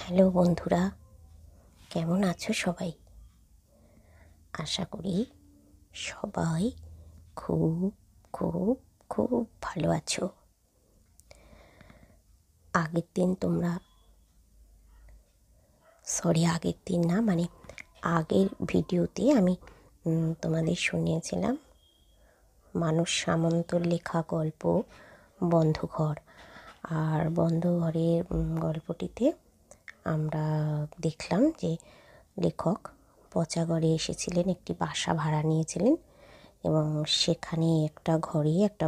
hello বন্ধুরা কেমন আছো সবাই আশা করি সবাই খুব খুব খুব ভালো আছো আগের দিন তোমরা সরি আগের দিন না মানে আগের ভিডিওতে আমি তোমাদের শুনিয়েছিলাম মানস সামন্ত লেখা গল্প বন্ধঘর আর বন্ধঘরের গল্পটিতে আমরা দেখলাম যে লেখক পচা ঘরে এসেছিলেন একটি বাসা ভাড়া নিয়েছিলেন এবং সেখানে একটা ঘরে একটা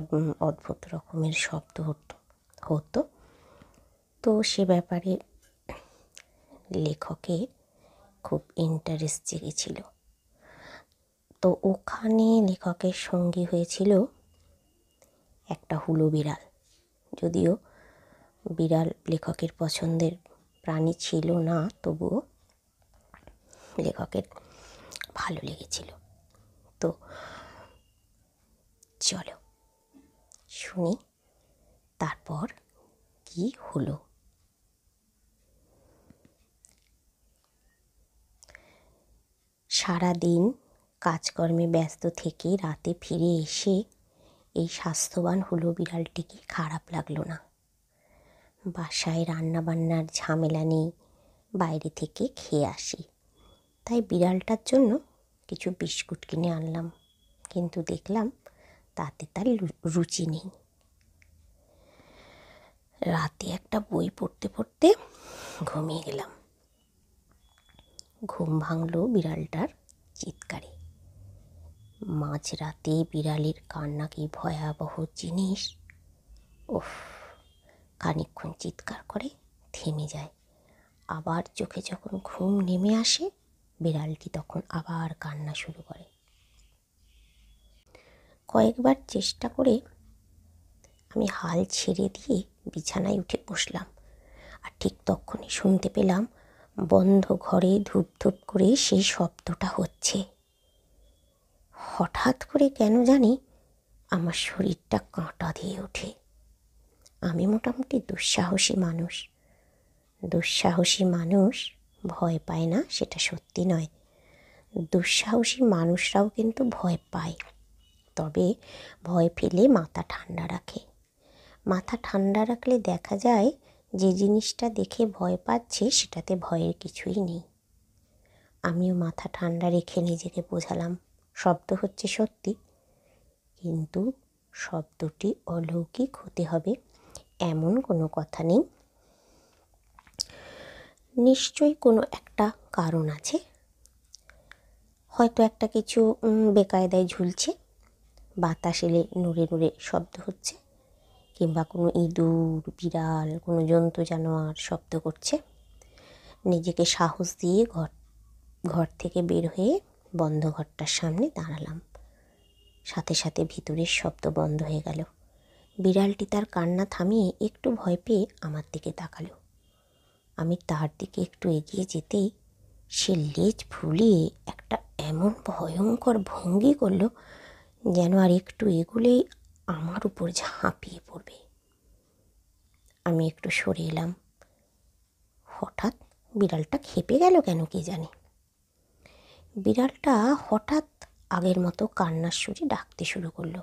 অদ্ভুত রকমের শব্দ হতো তো সে ব্যাপারে লেখকের খুব ইন্টারেস্ট জেগেছিল তো ওখানে লেখকের সঙ্গী হয়েছিল একটা হুলো বিড়াল যদিও বিড়াল লেখকের পছন্দের প্রাণী ছিল না তবুও লেখকের ভালো লেগেছিল তো চলো শুনি তারপর কি হলো সারাদিন কাজকর্মে ব্যস্ত থেকে রাতে ফিরে এসে এই স্বাস্থ্যবান হলো বিড়ালটিকে খারাপ লাগলো না বাসায় রান্নাবান্নার ঝামেলা নেই বাইরে থেকে খেয়ে আসি তাই বিড়ালটার জন্য কিছু বিস্কুট কিনে আনলাম কিন্তু দেখলাম তাতে তার রুচি নেই রাতে একটা বই পড়তে পড়তে ঘুমিয়ে গেলাম ঘুম ভাঙল বিড়ালটার চিৎকারে মাঝ রাতে বিড়ালের কান্না কি ভয়াবহ জিনিস ওফ খানিক্ষণ চিৎকার করে থেমে যায় আবার চোখে যখন ঘুম নেমে আসে বিড়ালটি তখন আবার কান্না শুরু করে কয়েকবার চেষ্টা করে আমি হাল ছেড়ে দিয়ে বিছানায় উঠে বসলাম আর ঠিক তখনই শুনতে পেলাম বন্ধ ঘরে ধূপ ধূপ করে সেই শব্দটা হচ্ছে হঠাৎ করে কেন জানি আমার শরীরটা কাঁটা দিয়ে ওঠে আমি মোটামুটি দুঃসাহসী মানুষ দুঃসাহসী মানুষ ভয় পায় না সেটা সত্যি নয় দুঃসাহসী মানুষরাও কিন্তু ভয় পায় তবে ভয় ফেলে মাথা ঠান্ডা রাখে মাথা ঠান্ডা রাখলে দেখা যায় যে জিনিসটা দেখে ভয় পাচ্ছে সেটাতে ভয়ের কিছুই নেই আমিও মাথা ঠান্ডা রেখে নিজেকে বোঝালাম শব্দ হচ্ছে সত্যি কিন্তু শব্দটি অলৌকিক হতে হবে এমন কোনো কথা নেই নিশ্চয়ই কোনো একটা কারণ আছে হয়তো একটা কিছু বেকায়দায় ঝুলছে বাতাস এলে নুড়ে নুড়ে শব্দ হচ্ছে কিংবা কোনো ইঁদুর বিড়াল কোনো জন্তু জানোয়ার শব্দ করছে নিজেকে সাহস দিয়ে ঘর ঘর থেকে বের হয়ে বন্ধ ঘরটার সামনে দাঁড়ালাম সাথে সাথে ভিতরের শব্দ বন্ধ হয়ে গেল বিড়ালটি তার কান্না থামিয়ে একটু ভয় পেয়ে আমার দিকে তাকালো আমি তার দিকে একটু এগিয়ে যেতেই সে লেজ ফুলিয়ে একটা এমন ভয়ঙ্কর ভঙ্গি করল যেন আর একটু এগুলেই আমার উপর ঝাঁপিয়ে পড়বে আমি একটু সরে এলাম হঠাৎ বিড়ালটা খেপে গেল কেন কে জানে বিড়ালটা হঠাৎ হঠাৎ আগের মতো কান্নার সুরে ডাকতে শুরু করলো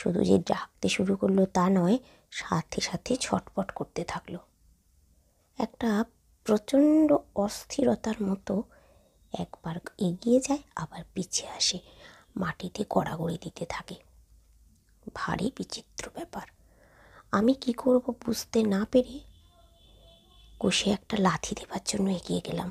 শুধু যে ডাকতে শুরু করলো তা নয় সাথে সাথে ছটপট করতে থাকলো একটা প্রচণ্ড অস্থিরতার মতো একবার এগিয়ে যায় আবার পিছিয়ে আসে মাটিতে গড়াগড়ি দিতে থাকে ভারী বিচিত্র ব্যাপার আমি কি করব বুঝতে না পেরে কষে একটা লাথি দেবার জন্য এগিয়ে গেলাম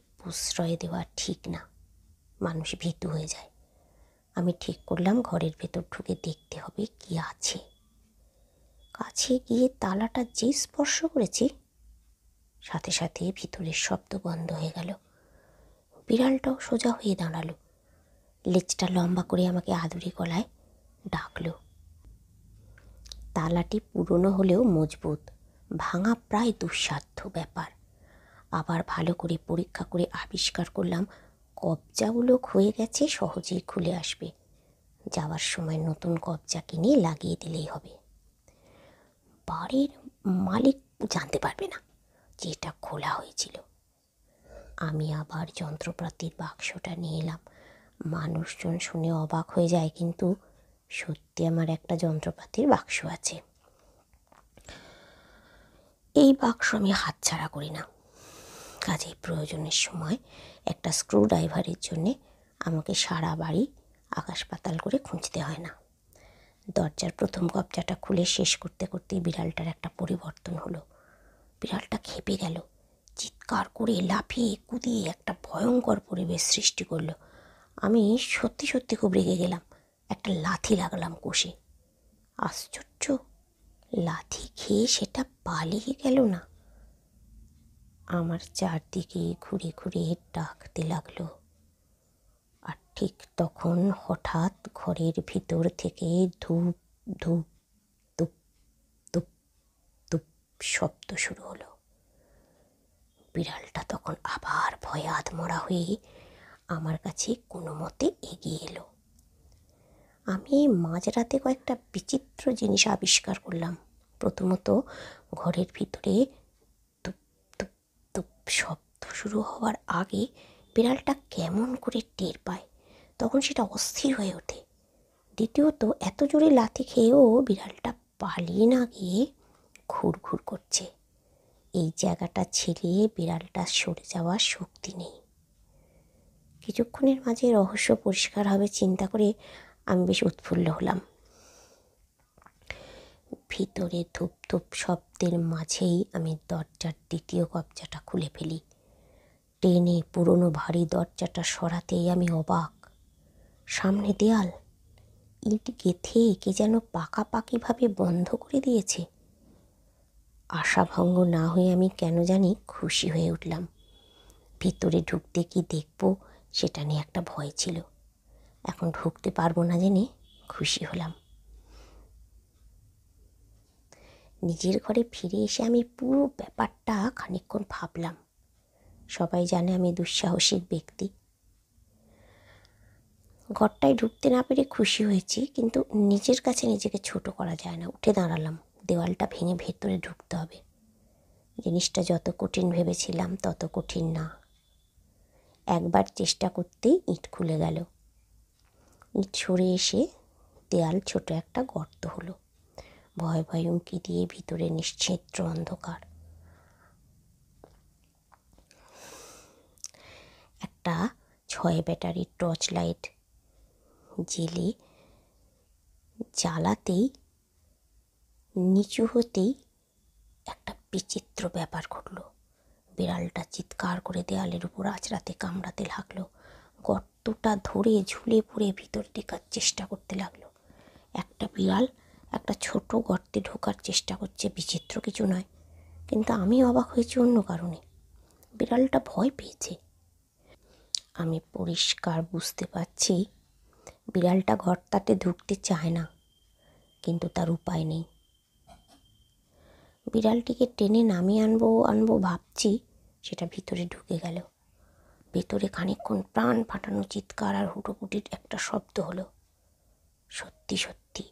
প্রশ্রয় দেওয়া ঠিক না মানুষ ভীতু হয়ে যায় আমি ঠিক করলাম ঘরের ভেতর ঢুকে দেখতে হবে কি আছে কাছে গিয়ে তালাটা যে স্পর্শ করেছি সাথে সাথে ভিতরের শব্দ বন্ধ হয়ে গেল বিড়ালটাও সোজা হয়ে দাঁড়ালো লেজটা লম্বা করে আমাকে আদুরি গলায় ডাকলো তালাটি পুরনো হলেও মজবুত ভাঙা প্রায় দুঃসাধ্য অসাধ্য ব্যাপার আবার ভালো করে পরীক্ষা করে আবিষ্কার করলাম কবজাগুলো হয়ে গেছে সহজেই খুলে আসবে যাওয়ার সময় নতুন কবজা কিনে লাগিয়ে দিলেই হবে বাড়ির মালিক জানতে পারবে না যেটা খোলা হয়েছিল আমি আবার যন্ত্রপাতির বাক্সটা নিয়ে এলাম মানুষজন শুনে অবাক হয়ে যায় কিন্তু সত্যি আমার একটা যন্ত্রপাতির বাক্স আছে এই বাক্স আমি হাতছাড়া করি না কাজেই প্রয়োজনের সময় একটা স্ক্রু ড্রাইভারের জন্যে আমাকে সারা বাড়ি আকাশ পাতাল করে খুঁজতে হয় না দরজার প্রথম কবজাটা খুলে শেষ করতে করতেই বিড়ালটার একটা পরিবর্তন হলো বিড়ালটা খেপে গেল চিৎকার করে লাফিয়ে কুদিয়ে একটা ভয়ঙ্কর পরিবেশ সৃষ্টি করলো আমি সত্যি সত্যি খুব রেগে গেলাম একটা লাথি লাগলাম কষে আশ্চর্য লাথি খেয়ে সেটা পালিয়ে গেল না আমার চারদিকে ঘুরে ঘুরে ডাকতে লাগলো আর ঠিক তখন হঠাৎ ঘরের ভিতর থেকে ধূপ ধূপ তুপ তুপ তুপ শব্দ শুরু হলো বিড়ালটা তখন আবার ভয়ে আধমরা হয়ে আমার কাছে কোনো মতে এগিয়ে এলো আমি মাঝরাতে কয়েকটা বিচিত্র জিনিস আবিষ্কার করলাম প্রথমত ঘরের ভিতরে তুপ তুপ তুপ শব্দ শুরু হওয়ার আগে বিড়ালটা কেমন করে টের পায় তখন সেটা অস্থির হয়ে ওঠে দ্বিতীয়ত এত জোরে লাথি খেয়েও বিড়ালটা পালিয়ে না গিয়ে ঘুর ঘুর করছে এই জায়গাটা ছেড়ে বিড়ালটা সরে যাওয়ার শক্তি নেই কিছুক্ষণের মাঝে রহস্য পরিষ্কার হবে চিন্তা করে আমি বেশ উৎফুল্ল হলাম ভিতরে ধূপ ধূপ শব্দের মাঝেই আমি দরজার দ্বিতীয় কবজাটা খুলে ফেলি টেনে পুরনো ভারী দরজাটা সরাতেই আমি অবাক সামনে দেয়াল ইট গেথে কে যেন পাকাপাকিভাবে বন্ধ করে দিয়েছে আশাভঙ্গ না হয়ে আমি কেন জানি খুশি হয়ে উঠলাম ভিতরে ঢুকতে কি দেখব সেটা নিয়ে একটা ভয় ছিল এখন ঢুকতে পারবো না জেনে খুশি হলাম নিজের ঘরে ফিরে এসে আমি পুরো ব্যাপারটা খানিকক্ষণ ভাবলাম সবাই জানে আমি দুঃসাহসিক ব্যক্তি ঘরটায় ঢুকতে না পেরে খুশি হয়েছি কিন্তু নিজের কাছে নিজেকে ছোট করা যায় না উঠে দাঁড়ালাম দেওয়ালটা ভেঙে ভেতরে ঢুকতে হবে জিনিসটা যত কঠিন ভেবেছিলাম তত কঠিন না একবার চেষ্টা করতেই ইট খুলে গেল ইট সরে এসে দেয়াল ছোট একটা গর্ত হলো ভয় ভয় উঁকি দিয়ে ভিতরে নিশ্চিদ্র অন্ধকার একটা ছয় ব্যাটারির টর্চ লাইট জেলে জ্বালাতেই নিচু হতেই একটা বিচিত্র ব্যাপার ঘটল বিড়ালটা চিৎকার করে দেয়ালের উপর আঁচড়াতে কামড়াতে লাগলো গর্তটা ধরে ঝুলে পড়ে ভিতর ঢেকার চেষ্টা করতে লাগলো একটা বিড়াল একটা ছোট গর্তে ঢোকার চেষ্টা করছে বিচিত্র কিছু নয় কিন্তু আমি অবাক হয়েছি অন্য কারণে বিড়ালটা ভয় পেয়েছে আমি পরিষ্কার বুঝতে পারছি বিড়ালটা ঘরটাতে ঢুকতে চায় না কিন্তু তার উপায় নেই বিড়ালটিকে টেনে নামিয়ে আনবো আনবো ভাবছি সেটা ভিতরে ঢুকে গেল ভেতরে খানিকক্ষণ প্রাণ ফাটানো চিৎকার আর হুটোপুটির একটা শব্দ হলো সত্যি সত্যি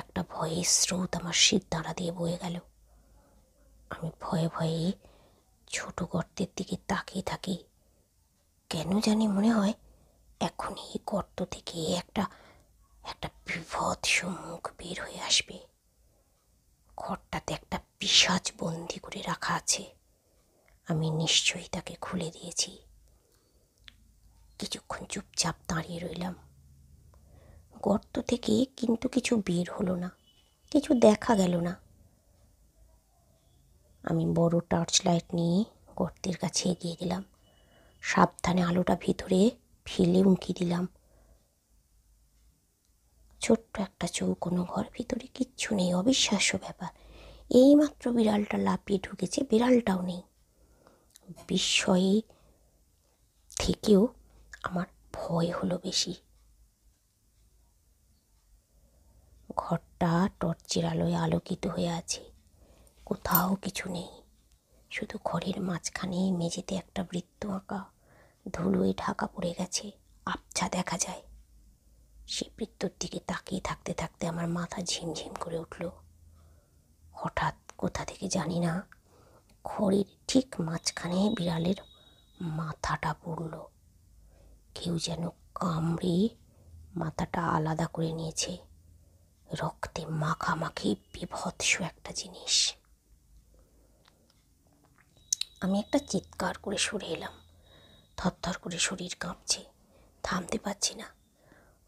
একটা ভয়ের স্রোত আমার শীত দাঁড়া দিয়ে বয়ে গেল আমি ভয়ে ভয়ে ছোট গর্তের দিকে তাকিয়ে থাকি কেন জানি মনে হয় এখন এই গর্ত থেকে একটা একটা বিভৎস সম্মুখ বের হয়ে আসবে ঘরটাতে একটা পিসাজ বন্দি করে রাখা আছে আমি নিশ্চয়ই তাকে খুলে দিয়েছি কিছুক্ষণ চুপচাপ দাঁড়িয়ে রইলাম গর্ত থেকে কিন্তু কিছু বের হলো না কিছু দেখা গেল না আমি বড় টর্চ লাইট নিয়ে গর্তের কাছে এগিয়ে গেলাম সাবধানে আলোটা ভিতরে ফেলে উঁকি দিলাম ছোট্ট একটা চৌকোনো ঘর ভিতরে কিচ্ছু নেই অবিশ্বাস্য ব্যাপার এইমাত্র বিড়ালটা লাফিয়ে ঢুকেছে বিড়ালটাও নেই বিস্ময়ে থেকেও আমার ভয় হলো বেশি ঘরটা টর্চের আলোয় আলোকিত হয়ে আছে কোথাও কিছু নেই শুধু ঘরের মাঝখানে মেঝেতে একটা বৃত্ত আঁকা ধুলোয় ঢাকা পড়ে গেছে আবছা দেখা যায় সে বৃত্তর দিকে তাকিয়ে থাকতে থাকতে আমার মাথা ঝিমঝিম করে উঠল হঠাৎ কোথা থেকে জানি না খড়ির ঠিক মাঝখানে বিড়ালের মাথাটা পড়ল কেউ যেন কামড়ে মাথাটা আলাদা করে নিয়েছে রক্তে মাখামাখি বিভৎস একটা জিনিস আমি একটা চিৎকার করে সরে এলাম থরথর করে শরীর কাঁপছে থামতে পারছি না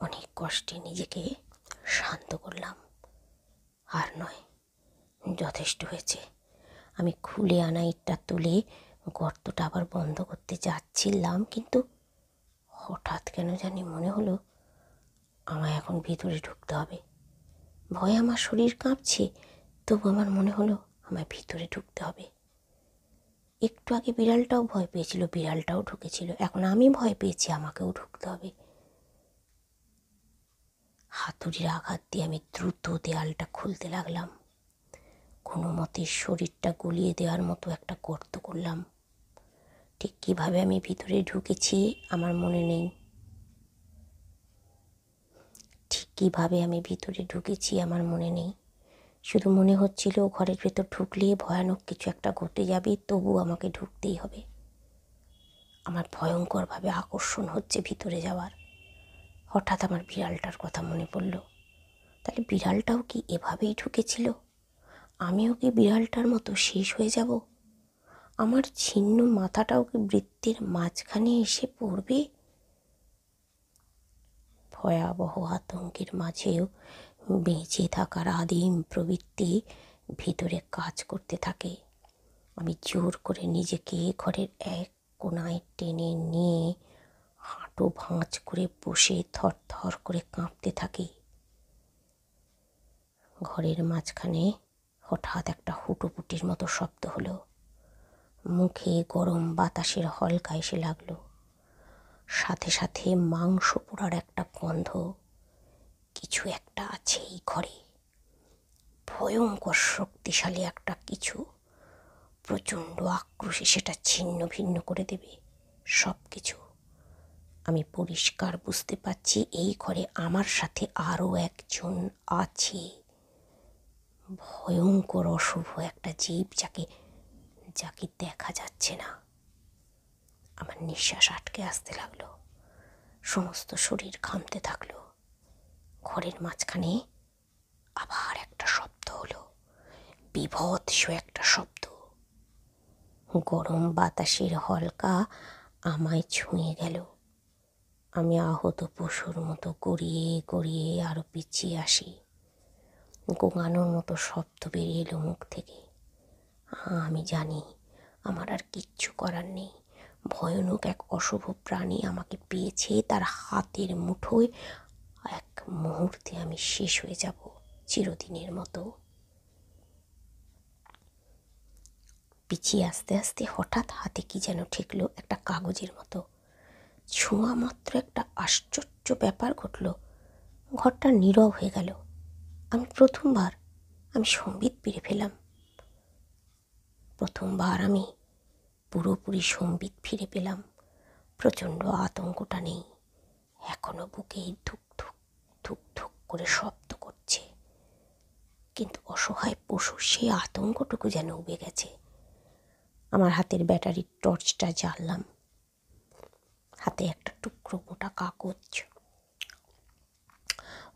অনেক কষ্টে নিজেকে শান্ত করলাম আর নয় যথেষ্ট হয়েছে আমি খুলে আনা ইটটা তুলে গর্তটা আবার বন্ধ করতে যাচ্ছিলাম কিন্তু হঠাৎ কেন জানি মনে হলো আমায় এখন ভিতরে ঢুকতে হবে ভয় আমার শরীর কাঁপছে তবু আমার মনে হলো আমায় ভিতরে ঢুকতে হবে একটু আগে বিড়ালটাও ভয় পেয়েছিল বিড়ালটাও ঢুকেছিল এখন আমি ভয় পেয়েছি আমাকেও ঢুকতে হবে হাতুড়ির আঘাত দিয়ে আমি দ্রুত দেয়ালটা খুলতে লাগলাম কোনো মতে শরীরটা গুলিয়ে দেওয়ার মতো একটা গর্ত করলাম ঠিক কীভাবে আমি ভিতরে ঢুকেছি আমার মনে নেই ঠিক কীভাবে আমি ভিতরে ঢুকেছি আমার মনে নেই শুধু মনে হচ্ছিল ঘরের ভেতর ঢুকলে ভয়ানক কিছু একটা ঘটে যাবে তবু আমাকে ঢুকতেই হবে আমার ভয়ঙ্করভাবে আকর্ষণ হচ্ছে ভিতরে যাওয়ার হঠাৎ আমার বিড়ালটার কথা মনে পড়ল তাহলে বিড়ালটাও কি এভাবেই ঢুকেছিল আমিও কি বিড়ালটার মতো শেষ হয়ে যাব আমার ছিন্ন মাথাটাও কি বৃত্তের মাঝখানে এসে পড়বে ভয়াবহ আতঙ্কের মাঝেও বেঁচে থাকার আদিম প্রবৃত্তি ভিতরে কাজ করতে থাকে আমি জোর করে নিজেকে ঘরের এক কোনায় টেনে নিয়ে হাঁটু ভাঁজ করে বসে থর থর করে কাঁপতে থাকি ঘরের মাঝখানে হঠাৎ একটা হুটোপুটির মতো শব্দ হলো মুখে গরম বাতাসের হলকা এসে লাগলো সাথে সাথে মাংস পোড়ার একটা গন্ধ কিছু একটা আছে এই ঘরে ভয়ঙ্কর শক্তিশালী একটা কিছু প্রচণ্ড আক্রোশে সেটা ছিন্ন ভিন্ন করে দেবে সব কিছু আমি পরিষ্কার বুঝতে পারছি এই ঘরে আমার সাথে আরও একজন আছে ভয়ঙ্কর অশুভ একটা জীব যাকে যাকে দেখা যাচ্ছে না আমার নিঃশ্বাস আটকে আসতে লাগলো সমস্ত শরীর ঘামতে থাকলো ঘরের মাঝখানে আবার একটা শব্দ হলো বিভৎস একটা শব্দ গরম বাতাসের হলকা আমায় ছুঁয়ে গেল আমি আহত পশুর মতো গড়িয়ে গড়িয়ে আরও পিছিয়ে আসি গোঙানোর মতো শব্দ বেরিয়ে এলো মুখ থেকে আমি জানি আমার আর কিচ্ছু করার নেই ভয়ানক এক অশুভ প্রাণী আমাকে পেয়েছে তার হাতের মুঠোয় এক মুহূর্তে আমি শেষ হয়ে যাব চিরদিনের মতো পিছিয়ে আস্তে আস্তে হঠাৎ হাতে কি যেন ঠেকলো একটা কাগজের মতো ছোঁয়া মাত্র একটা আশ্চর্য ব্যাপার ঘটল ঘরটা নীরব হয়ে গেল আমি প্রথমবার আমি সম্বিত পেরে ফেলাম প্রথমবার আমি পুরোপুরি সম্বিত ফিরে পেলাম প্রচণ্ড আতঙ্কটা নেই এখনও বুকে ধুক ধুক ধুক ধুক করে শব্দ করছে কিন্তু অসহায় পশুর সেই আতঙ্কটুকু যেন উবে গেছে আমার হাতের ব্যাটারির টর্চটা জ্বাললাম হাতে একটা টুকরো গোটা কাগজ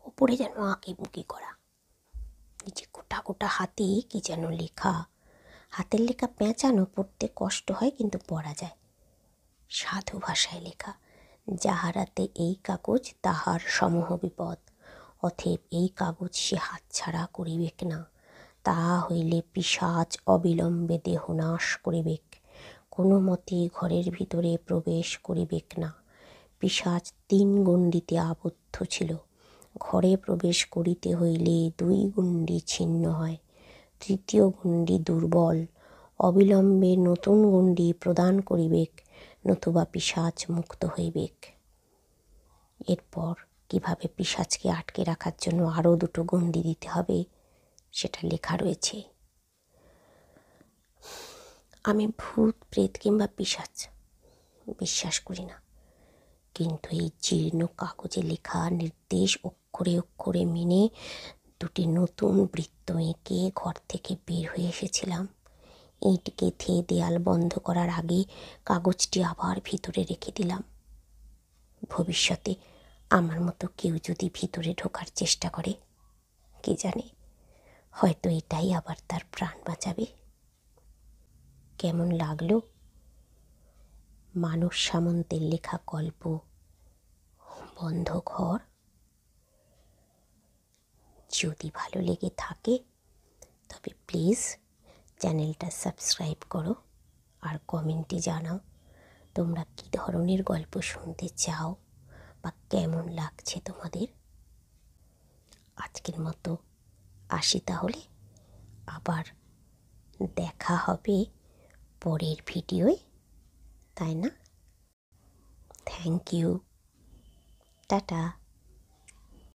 ওপরে যেন আঁকি বুকি করা নিচে গোটা গোটা হাতে কি যেন লেখা হাতের লেখা পেঁচানো পড়তে কষ্ট হয় কিন্তু পড়া যায় সাধু ভাষায় লেখা যাহারাতে এই কাগজ তাহার সমহ বিপদ অথেব এই কাগজ সে হাত ছাড়া করিবেক না না তাহা হইলে পিসাচ অবিলম্বে দেহ নাশ করিবেক কোনো মতে ঘরের ভিতরে প্রবেশ করিবেক না পিসাচ তিন গণ্ডিতে আবদ্ধ ছিল ঘরে প্রবেশ করিতে হইলে দুই গণ্ডি ছিন্ন হয় তৃতীয় গণ্ডি দুর্বল অবিলম্বে নতুন গণ্ডি প্রদান করিবেক নতুবা পিসাচ মুক্ত হইবেক এরপর কিভাবে পিসাজকে আটকে রাখার জন্য আরও দুটো গন্দি দিতে হবে সেটা লেখা রয়েছে আমি ভূত প্রেত কিংবা পিসাজ বিশ্বাস করি না কিন্তু এই জীর্ণ কাগজে লেখা নির্দেশ অক্ষরে অক্ষরে মেনে দুটি নতুন বৃত্ত এঁকে ঘর থেকে বের হয়ে এসেছিলাম ইঁট গেঁথে দেয়াল বন্ধ করার আগে কাগজটি আবার ভিতরে রেখে দিলাম ভবিষ্যতে আমার মতো কেউ যদি ভিতরে ঢোকার চেষ্টা করে কে জানে হয়তো এটাই আবার তার প্রাণ বাঁচাবে কেমন লাগলো মানস সামন্তের লেখা গল্প বন্ধ ঘর যদি ভালো লেগে থাকে তবে প্লিজ চ্যানেলটা সাবস্ক্রাইব করো আর কমেন্টে জানাও তোমরা কি ধরনের গল্প শুনতে চাও বা কেমন লাগছে তোমাদের আজকের মতো আসি তাহলে আবার দেখা হবে পরের ভিডিওয় তাই না থ্যাংক ইউ টাটা